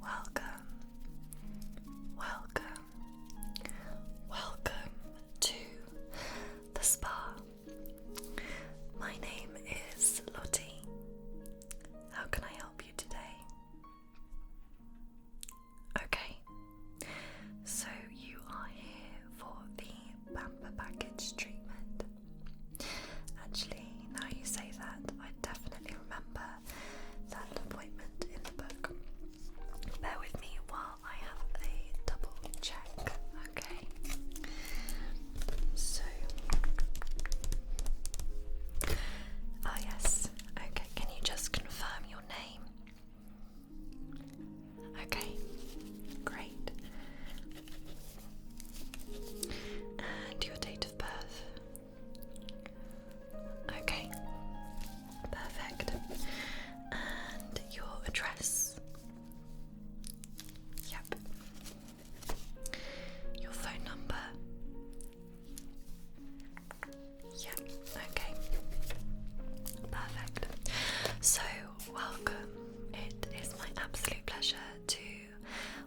Welcome, welcome, Welcome to the spa. My name is Lottie. How can I help you today? Okay, so you are here for the Pamper Package treatment. Actually, now you say that, I definitely remember that appointment in the book. Bear with me while I have a double check, okay? So, oh yes, okay, can you just confirm your name? Okay, great. And your date of birth? Okay, perfect. And your address? Yep. Your phone number? Yep, okay. Perfect. So, welcome. It is my absolute pleasure to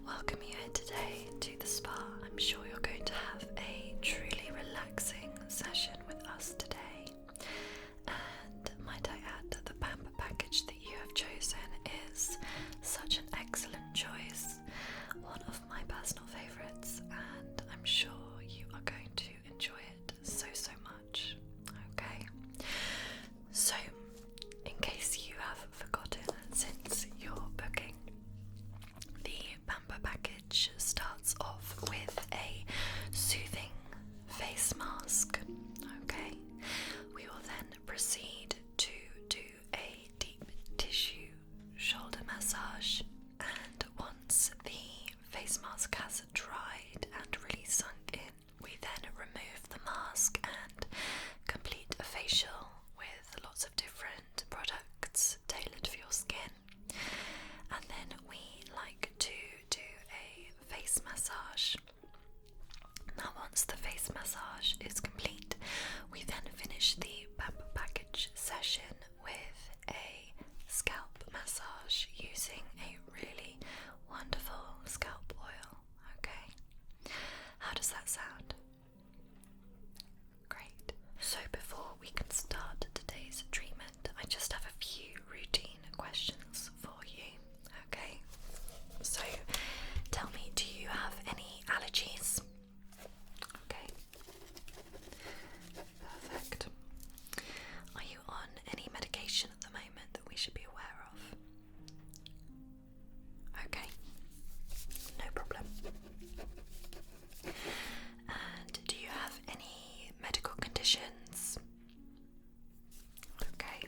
welcome you here today to the spa. I'm sure you're going to have a truly relaxing session with us today. And might I add that the pamper package that you have chosen is such an excellent choice, one of my personal favourites, and I'm sure you are going to enjoy it so so much. Okay, so in case you have forgotten since your booking, the Pamper package starts off with a soothing face mask. Okay, we will then proceed to do a deep tissue shoulder massage, and once the face mask has dried and really sunk in, we then remove the mask and complete a facial with lots of different products tailored for your skin. And then we like to do a face massage. Now, once the face massage is complete, we then finish the pamper package session with a scalp massage using a really wonderful scalp oil. Okay, how does that sound? Great. So, before we can start today's treatment, I just have a few routine questions for you. Okay? So, tell me, do you have any allergies? Okay. Perfect. Are you on any medication at the moment that we should be aware of? Okay. No problem do you have any medical conditions? Okay.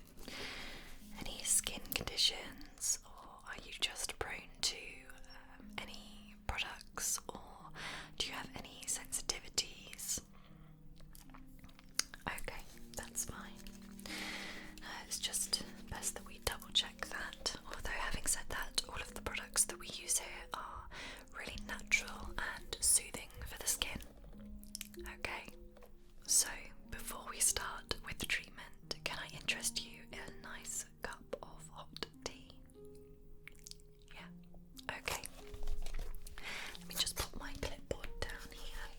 Any skin conditions, or are you just prone to um, any products, or do you have any sensitivities? Okay, that's fine. Uh, it's just best that we double check Although, having said that, all of the products that we use here are really natural and soothing for the skin. Okay, so before we start with the treatment, can I interest you in a nice cup of hot tea? Yeah, okay. Let me just put my clipboard down here.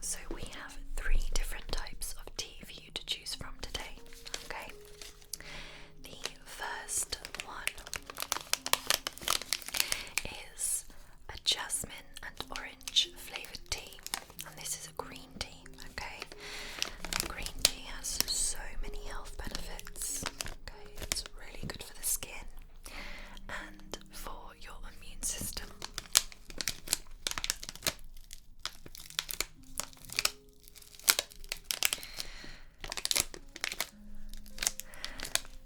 So, we have three different types of tea for you to choose from today. Okay, the first one is a jasmine and orange flavoured tea, and this is a green tea, okay? green tea has so many health benefits, okay? It's really good for the skin and for your immune system.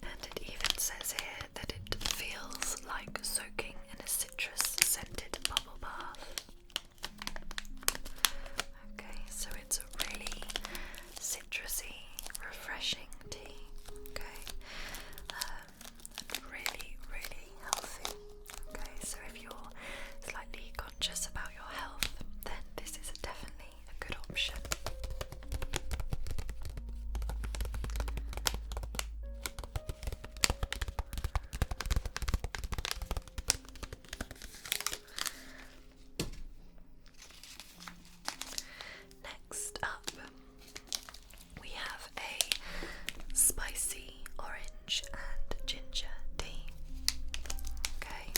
And it even says here that it feels like soaking in a citrus scented bubble bath. Okay, so it's a really citrusy, refreshing tea. Okay, um, really, really healthy. Okay, so if you're slightly conscious about your health, then this is definitely a good option. Next up, we have a spicy orange and ginger tea. Okay,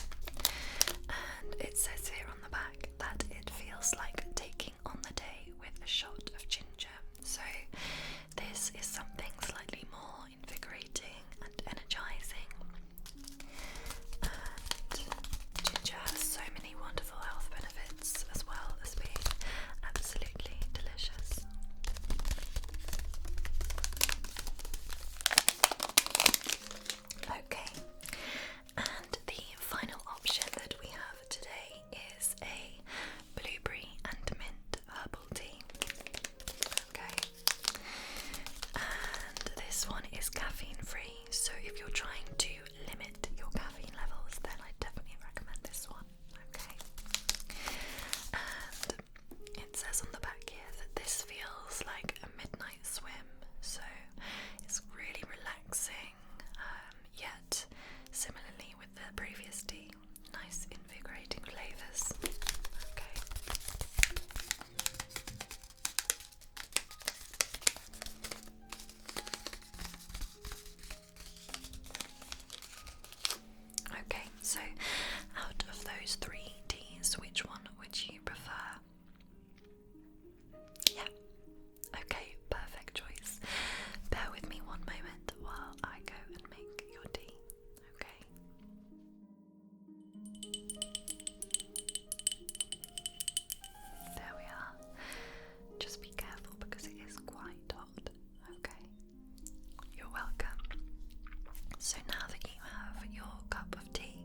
and it says here on the back that it feels like taking on the day with a shot of ginger. So, this is something slightly more invigorating and energizing. ginger has so many wonderful health benefits as well as being absolutely delicious. Okay, and the final option that we have today is a blueberry and mint herbal tea. Okay, and this one is caffeine free, so if you're trying to limit your caffeine levels, then I definitely recommend this one. Okay, it says on the back here that this feels like a midnight swim, so it's really relaxing, um, yet similarly with the previous tea, nice invigorating flavours. Okay. Okay, so out of those three D's, which one would you prefer? Yeah. Okay, perfect choice. Bear with me one moment while I go and make your tea. Okay. There we are. Just be careful because it is quite hot. Okay. You're welcome. So now that you have your cup of tea,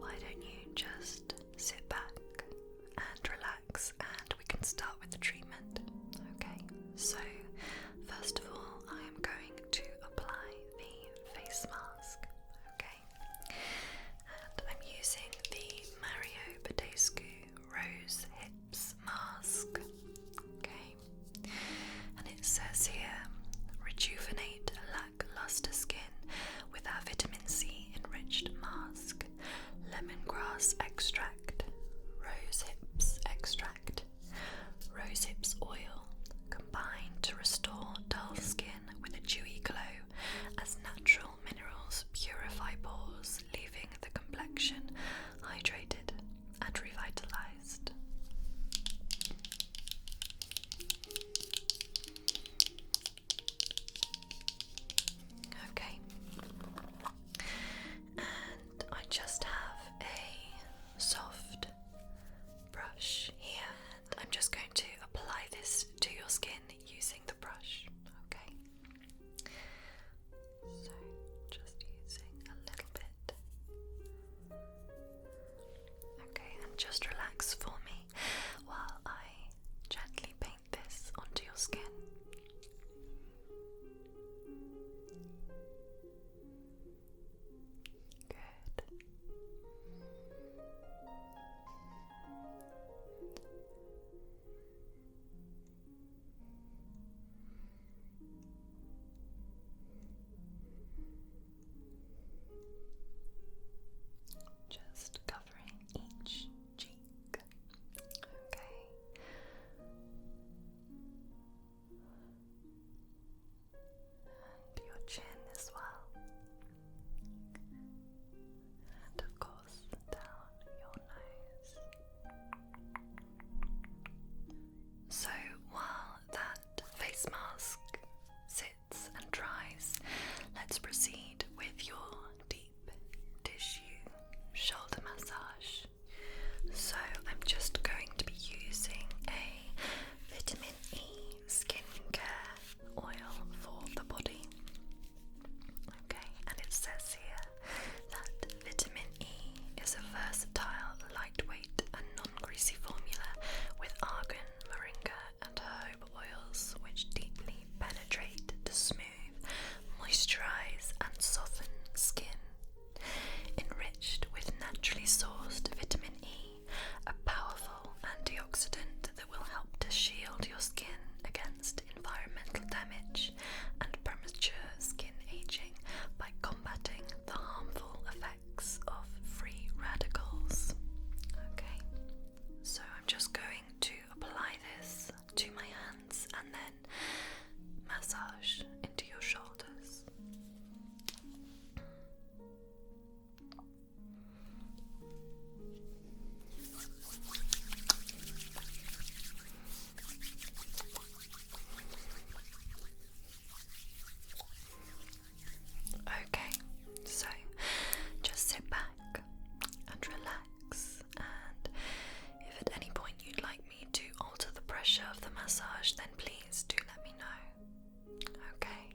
why don't you just sit back and relax and we can start with the treatment? Okay, so first of all, I am going to apply the face mask. Okay, and I'm using the Mario Badescu Rose Hips Mask. Okay, and it says here rejuvenate lackluster skin with our vitamin C enriched mask, lemongrass extract, rose hips extract, rose hips oil combined to restore dull skin with a dewy glow as natural minerals purify pores, leaving the complexion hydrated and revitalized. Okay, and I just have a soft brush here, and I'm just going to apply this to your skin using the brush. Okay, so just using a little bit Okay, and just relax for me while I gently paint this onto your skin. Good. Just covering each cheek. Okay. And your chin as well. And of course, down your nose. So, while that face mask sits and dries, let's proceed with your deep tissue shoulder massage. So, I'm just going to be using a vitamin E skincare oil for the body. Okay, and it says here that vitamin E is a versatile, lightweight, and non greasy formula with argan, moringa, and herb oils which deeply penetrate to smooth, moisturize, and soften skin. Enriched with naturally sourced vitamin E, a powerful antioxidant that will help to shield your skin against environmental damage and premature skin aging by combating the harmful effects of free radicals. Okay, so I'm just going to apply this to my hands and then massage into your shoulders. Okay, so just sit back and relax. And if at any point you'd like me to alter the pressure of the massage, then please do let me know. Okay.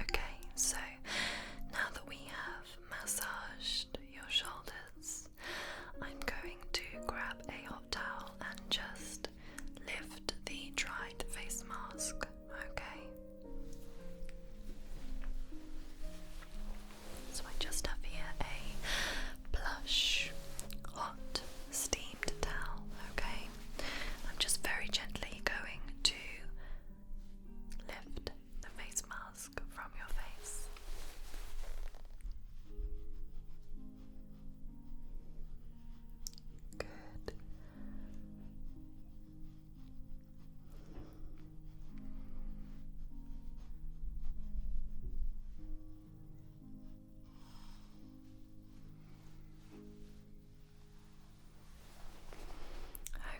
Okay, so now that we have massage your shoulders, I'm going to grab a hot towel and just lift the dried face mask, okay? So I just have here a plush, hot, steamed towel, okay? I'm just very gently going to lift the face mask from your face. Good.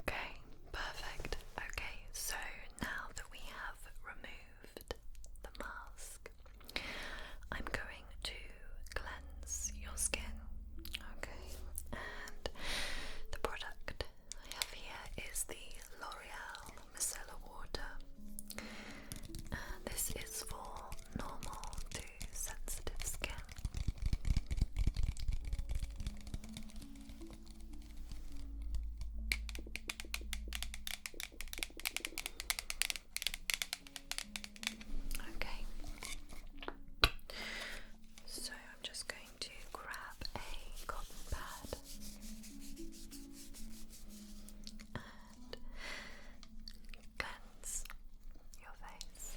Okay, perfect. Okay, so now that we have removed the mask, I'm going to cleanse your skin. Okay, and the product I have here is the L'Oreal Micellar Water, this is for normal to sensitive skin. Okay. So I'm just going to grab a cotton pad and cleanse your face.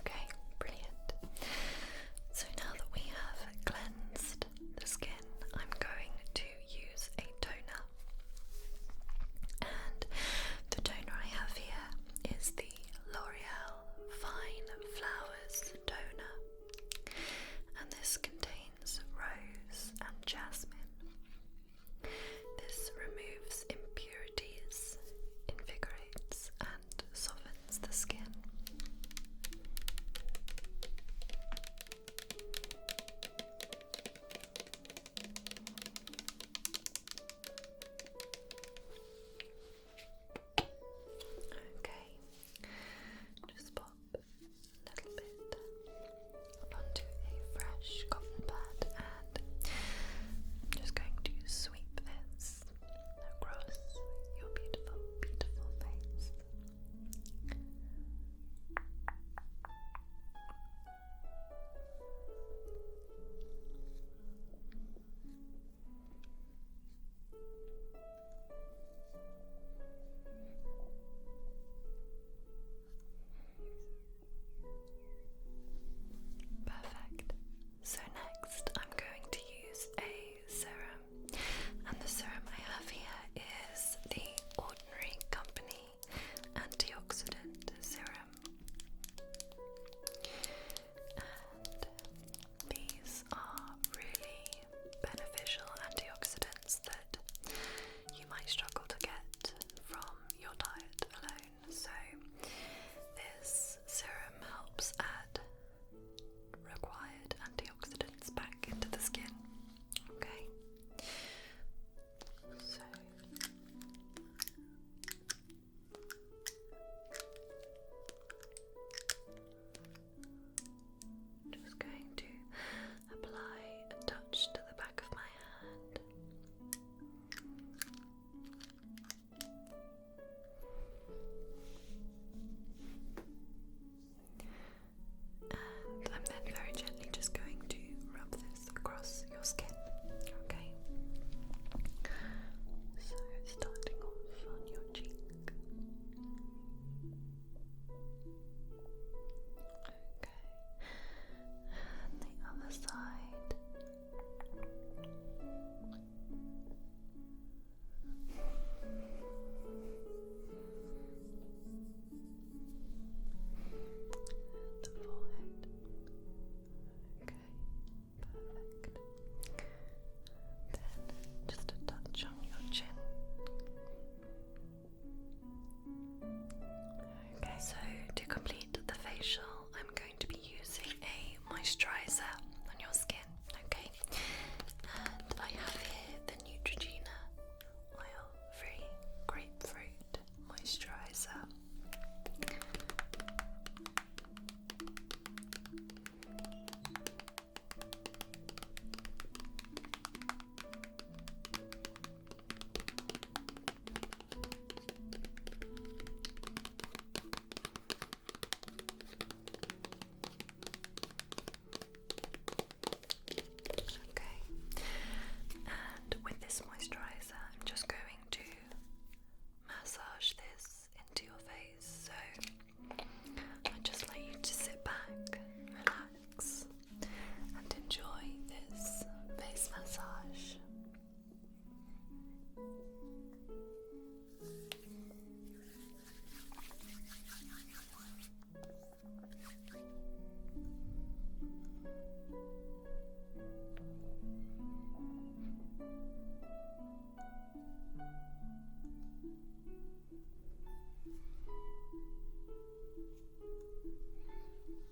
Okay, brilliant. So now that we have cleansed the skin, I'm going to use a toner. And the toner I have here is the L'Oreal Fine Flowers Toner. And this contains rose and jasmine. This removes impurities, invigorates, and softens the skin. Okay, just pop a little bit onto a fresh cotton pad and I'm just going to sweep this across your beautiful, beautiful face. Perfect. So next I'm going to use a serum. And the serum I have here is the Ordinary Company Antioxidant Serum. these are really beneficial antioxidants that you might struggle to get from your diet alone. So, this serum helps add required antioxidants back into the skin. Okay, so. Just going to apply a touch to the back of my hand. And I'm then very gently just going to rub this across your skin. Okay. So starting off on your cheek. Okay. And the other side. The forehead. Okay, perfect. Then just a touch on your chin so to complete the facial, I'm going to be using a moisturizer on your skin, okay? And I have here the Neutrogena Oil Free Grapefruit Moisturizer. Okay, and with this moisturizer, I'm just going to massage this into your face. So I just like you to sit back, relax and enjoy this face massage.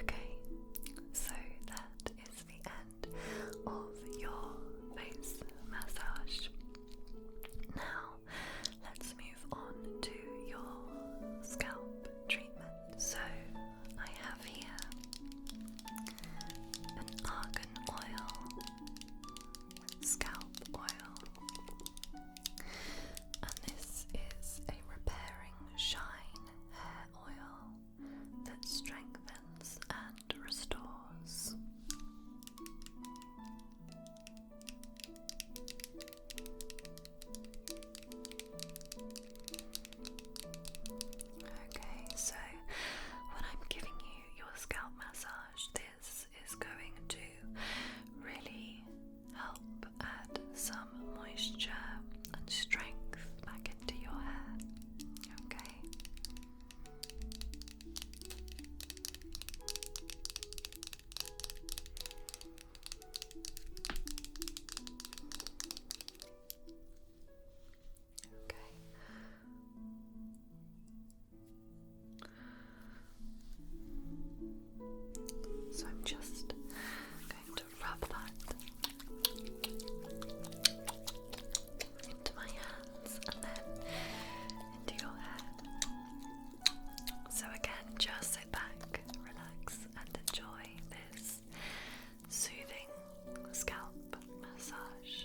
Okay, so that is the end of your face massage. Now, let's move on to your scalp treatment. So, I have here an argan oil, scalp oil, and this is a repairing shine hair oil that strengthens and restores. Okay, so when I'm giving you your scalp massage, this is going to really help add some moisture and strength back into your hair. Okay. Okay. So I'm just going to rub that so, again, just sit back, relax, and enjoy this soothing scalp massage.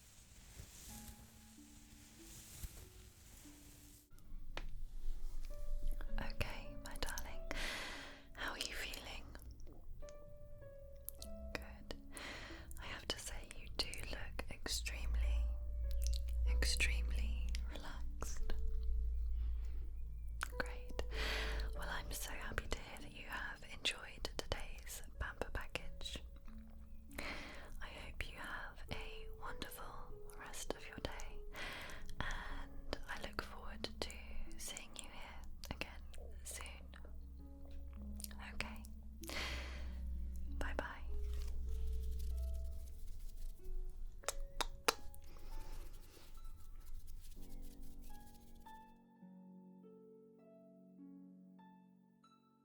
Okay, my darling, how are you feeling? Good. I have to say, you do look extremely, extremely relaxed. Great. Well, I'm so happy to hear that you have enjoyed today's pamper package. I hope you have a wonderful rest of your day, and I look forward to seeing you here again soon. Okay, bye bye.